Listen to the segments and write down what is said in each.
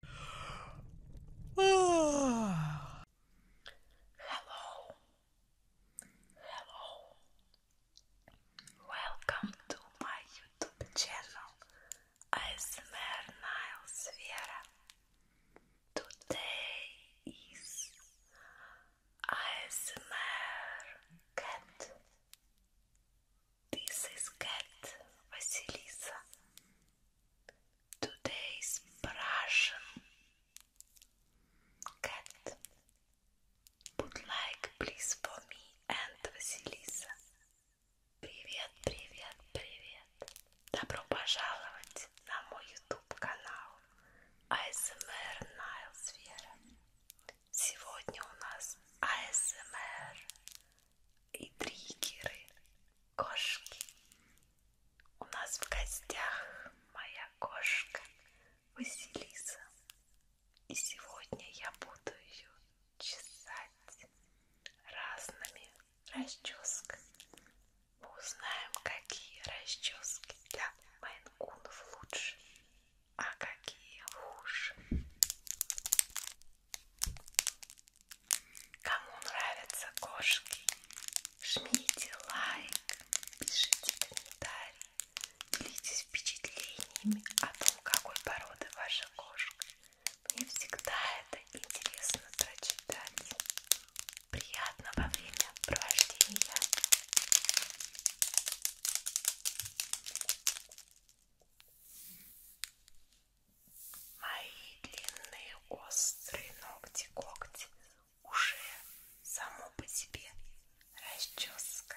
Hello, hello, welcome to my YouTube channel ASMR Niles Vera. Today is ASMR Cat this is Cat Vasilisa. Today's Russian cat. Put like please for me and Vasilisa. Привет, привет, привет. Добро пожаловать на мой YouTube канал ASMR Nile Сфера. Сегодня у нас ASMR и триггеры кошки. У нас в гостях моя кошка Василиса. И сегодня я буду ее чесать разными расческами. Мы узнаем, какие расчески для майнкунов лучше, а какие хуже. Кому нравятся кошки, жмите лайк, пишите комментарии, делитесь впечатлениями о том, какой породы ваша кошка. Мне всегда это интересно прочитать. Приятного времяпровождения! Мои длинные острые ногти-когти уже само по себе расческа.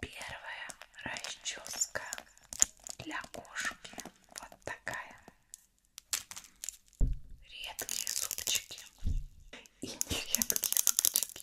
Первая расческа для кошки вот такая. Редкие зубчики и нередкие зубчики.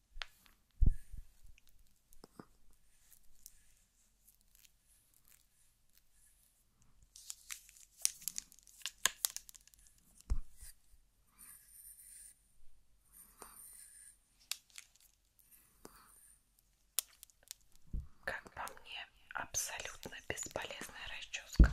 Как по мне, абсолютно бесполезная расческа.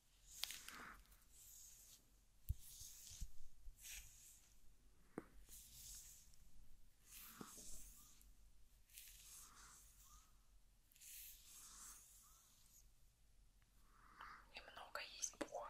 И много есть Бога.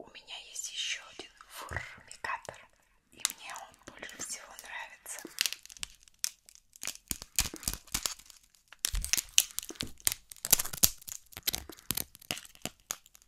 У меня есть еще один фурмикатор, и мне он больше всего нравится.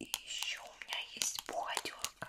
И еще у меня есть бухгалтерка.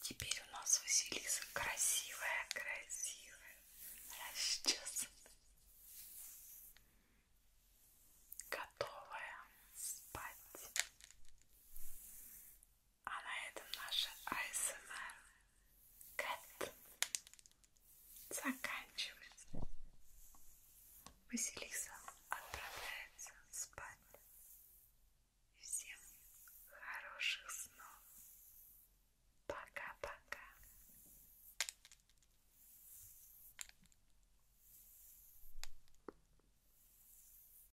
Теперь у нас Василиса красивая, красивая, расчесанная, готовая спать. А на этом наша АСМР Кэт заканчивается. Василиса отправляется спать. Всем хороших снов. Пока-пока.